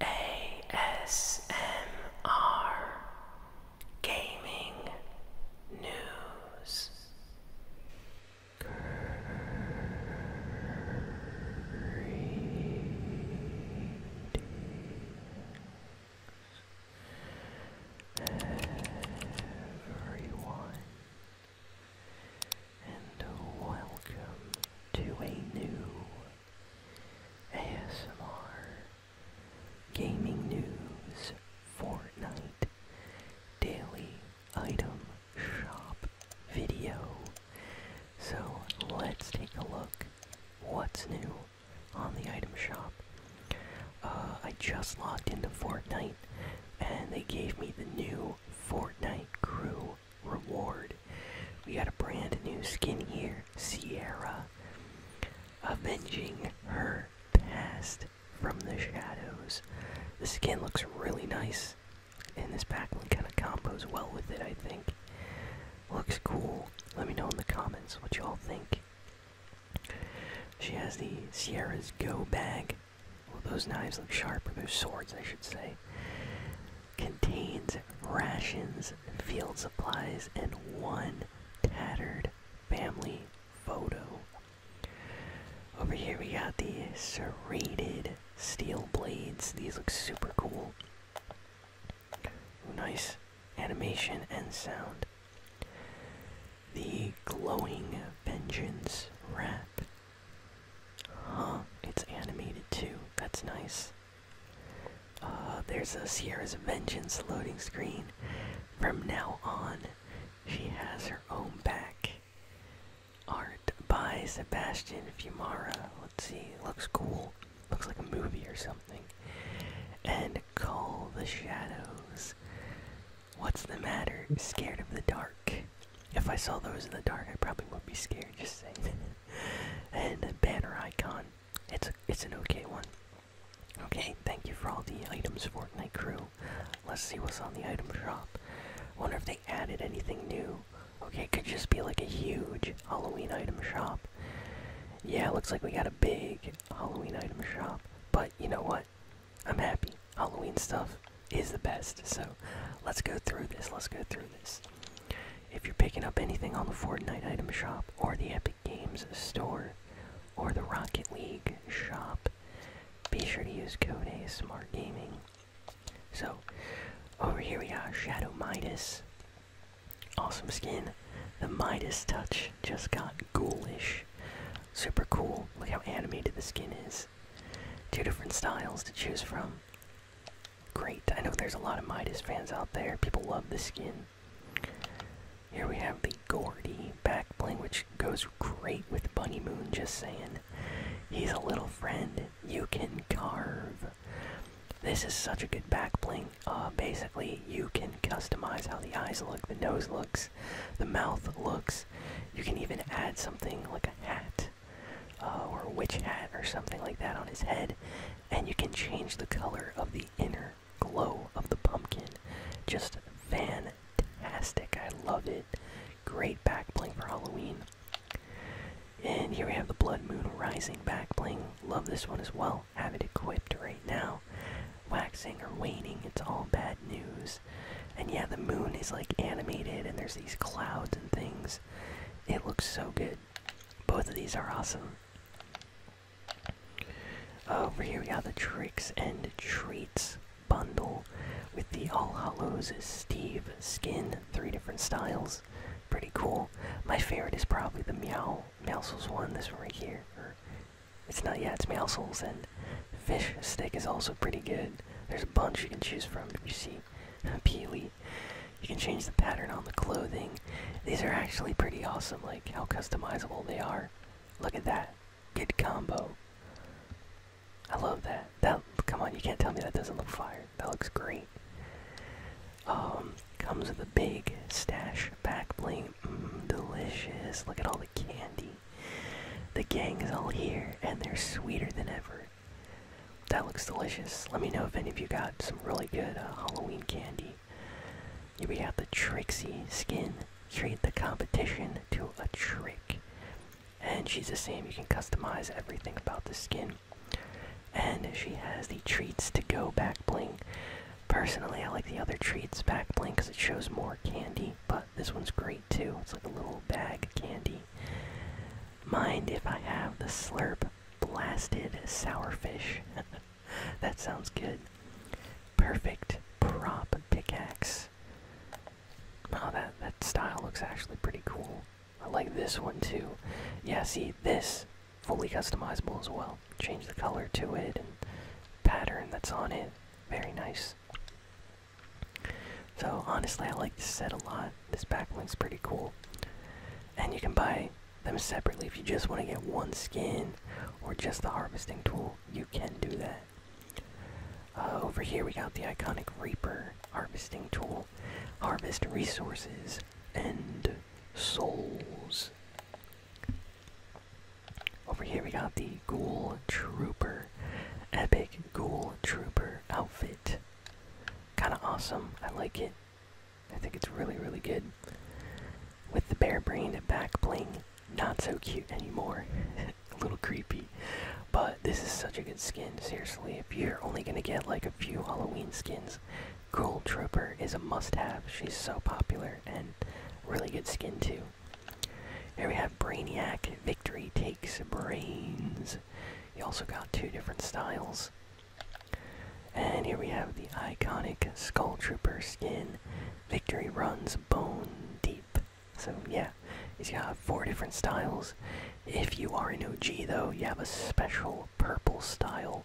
ASMR Gaming News Everyone and welcome to a new ASMR, gaming news, Fortnite, daily item shop video. So let's take a look what's new on the item shop. Uh, I just logged into Fortnite and they gave me the new Fortnite crew reward. We got a brand new skin here, Sierra. Avenging her past from the shadows. The skin looks really nice, and this pack backline kind of combos well with it, I think. Looks cool. Let me know in the comments what y'all think. She has the Sierra's Go bag. Well, those knives look sharp, or those swords, I should say. Contains rations, field supplies, and one tattered family photo. Over here we got the serrated steel blades. These look super cool. Nice animation and sound. The glowing vengeance wrap. Huh, it's animated too. That's nice. Uh, there's a Sierra's Vengeance loading screen. From now on, she has her own back. Art by Sebastian Fiumara. Let's see, looks cool. Looks like a movie or something. And Call the Shadows. What's the matter? Scared of the dark? If I saw those in the dark, I probably would be scared, just saying. and banner icon. It's it's an okay one. Okay, thank you for all the items, Fortnite crew. Let's see what's on the item shop. Wonder if they added anything new. Okay, it could just be like a huge Halloween item shop. Yeah, looks like we got a big Halloween item shop. But you know what? I'm happy. Halloween stuff is the best. So let's go through this. Let's go through this. If you're picking up anything on the Fortnite item shop, or the Epic Games store, or the Rocket League shop, be sure to use code A Smart Gaming. So, over here we are, Shadow Midas. Awesome skin. The Midas touch just got ghoulish. Super cool. Look how animated the skin is. Two different styles to choose from. Great. I know there's a lot of Midas fans out there. People love the skin. Here we have the Gordy back bling, which goes great with Bunny Moon, just saying. He's a little friend you can carve. This is such a good back bling. Uh, basically, you can customize how the eyes look, the nose looks, the mouth looks. You can even add something like a hat uh, or witch hat or something like that on his head, and you can change the color of the inner glow of the pumpkin. Just fantastic. I love it. Great back bling for Halloween. And here we have the Blood Moon Rising back bling. Love this one as well. Have it equipped right now. Waxing or waning, it's all bad news. And yeah, the moon is like animated and there's these clouds and things. It looks so good. Both of these are awesome. Over here we got the Tricks and Treats bundle with the All Hollows Steve skin, three different styles. Pretty cool. My favorite is probably the Meow Meowsles one, this one right here. it's not yet. it's Meowsles and Fish Steak is also pretty good. There's a bunch you can choose from, you see Peely you can change the pattern on the clothing. These are actually pretty awesome, like how customizable they are. Look at that. Good combo. I love that. That come on, you can't tell me that doesn't look fire. That looks great. Um, comes with a big stash back bling. Mm, delicious. Look at all the candy. The gang is all here, and they're sweeter than ever. That looks delicious. Let me know if any of you got some really good uh, Halloween candy. You we have the Trixie skin. Treat the competition to a trick. And she's the same. You can customize everything about the skin. And she has the treats to go back bling. Personally, I like the other treats back bling because it shows more candy, but this one's great too. It's like a little bag of candy. Mind if I have the slurp Blasted sourfish. that sounds good. Perfect prop pickaxe. Oh, that, that style looks actually pretty cool. I like this one too. Yeah, see, this fully customizable as well. Change the color to it and pattern that's on it. Very nice. So honestly, I like this set a lot. This pack looks pretty cool. And you can buy them separately if you just want to get one skin or just the harvesting tool. You can do that. Uh, over here we got the iconic Reaper harvesting tool. Harvest resources and souls. Over here we got the Ghoul Trooper. Epic Ghoul Trooper outfit. Kinda awesome. I like it. I think it's really, really good. With the bare-brained back bling, not so cute anymore. a little creepy. But this is such a good skin, seriously. If you're only gonna get like a few Halloween skins, Gold Trooper is a must-have. She's so popular and really good skin too. Here we have Brainiac. Victory takes brains. You also got two different styles. And here we have the iconic Skull Trooper skin. Victory runs bone deep. So, yeah, you have four different styles. If you are an OG, though, you have a special purple style.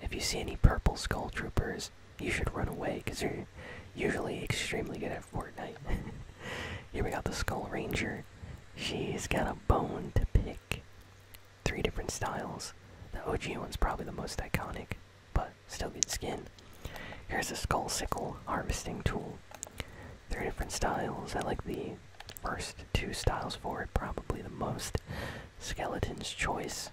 If you see any purple Skull Troopers, you should run away because they're usually extremely good at Fortnite. Here we got the Skull Ranger. She's got a bone to pick three different styles. The OG one's probably the most iconic, but still good skin. Here's a skull sickle harvesting tool. Three different styles. I like the first two styles for it probably the most. Skeleton's choice.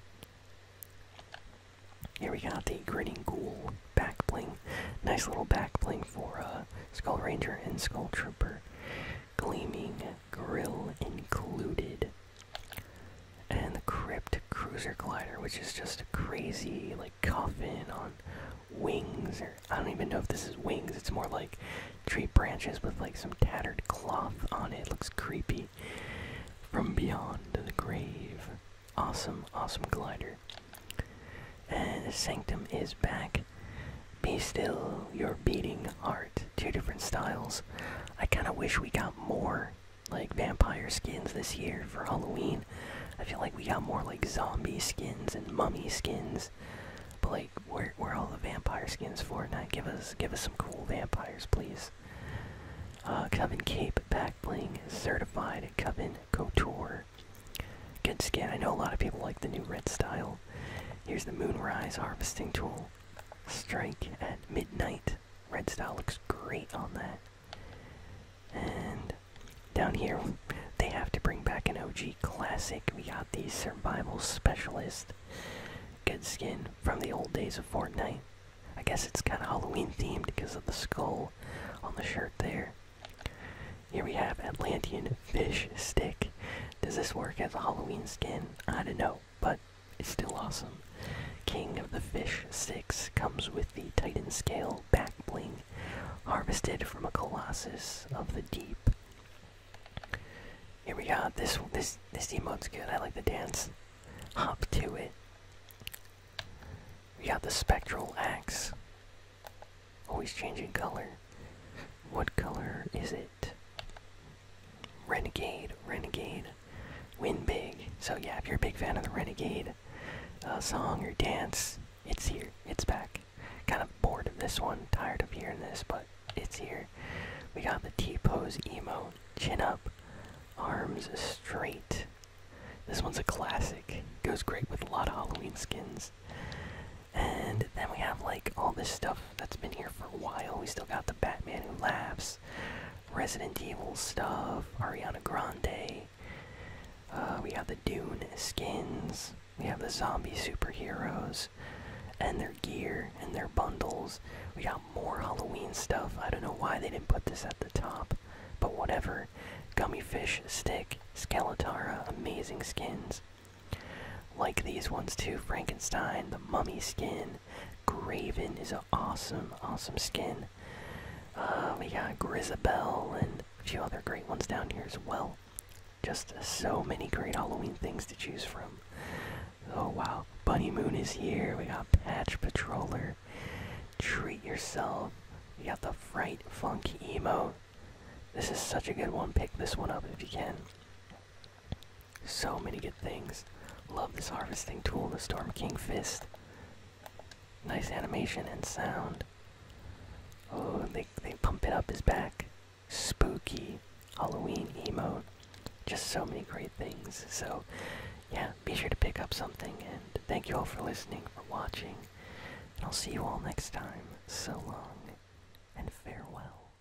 Here we got the grinning ghoul back bling. Nice little back bling for a uh, Skull Ranger and Skull Trooper. Gleaming grill included and the Crypt Cruiser Glider, which is just a crazy like coffin on wings, or I don't even know if this is wings. It's more like tree branches with like some tattered cloth on it. looks creepy. From beyond the grave, awesome, awesome glider. And Sanctum is back. Be still, your beating art. Two different styles. I kind of wish we got more like vampire skins this year for Halloween. I feel like we got more like zombie skins and mummy skins. But like, where are all the vampire skins for? Now give us give us some cool vampires, please. Uh, Coven Cape back bling certified Coven Couture. Good skin. I know a lot of people like the new red style. Here's the Moonrise harvesting tool. Strike at midnight. Red Style looks great on that. And down here, they have to bring back an OG classic. We got the Survival Specialist. Good skin from the old days of Fortnite. I guess it's kind of Halloween themed because of the skull on the shirt there. Here we have Atlantean Fish Stick. Does this work as a Halloween skin? I don't know but it's still awesome. King of the Fish 6 comes with the Titan Scale back bling, harvested from a Colossus of the Deep. Here we go. This this this emote's good. I like the dance. Hop to it. We got the spectral axe. Always changing color. What color is it? Renegade, Renegade, win big. So yeah, if you're a big fan of the Renegade uh, song or dance, it's here. It's back. Kind of bored of this one, tired of hearing this, but it's here. We got the T pose emo, chin up, arms straight. This one's a classic. Goes great with a lot of Halloween skins. And then we have like all this stuff that's been here for a while. We still got the Batman Who Laughs, Resident Evil stuff, Ariana Grande. Uh, we have the Dune skins. We have the zombie superheroes and their gear and their bundles. We got more Halloween stuff. I don't know why they didn't put this at the top, but whatever. Gummy Fish, Stick, Skeletara, amazing skins. Like these ones too Frankenstein, the Mummy skin, Graven is an awesome, awesome skin. Uh, we got Grisabelle and a few other great ones down here as well. Just so many great Halloween things to choose from. Oh wow, Bunny Moon is here. We got Patch Patroller. Treat yourself. We got the Fright Funk Emo. This is such a good one. Pick this one up if you can. So many good things. Love this harvesting tool, the Storm King Fist. Nice animation and sound. Oh, they, they pump it up his back. Spooky Halloween emo. Just so many great things. So, yeah, be sure to pick up something. And thank you all for listening, for watching. And I'll see you all next time. So long, and farewell.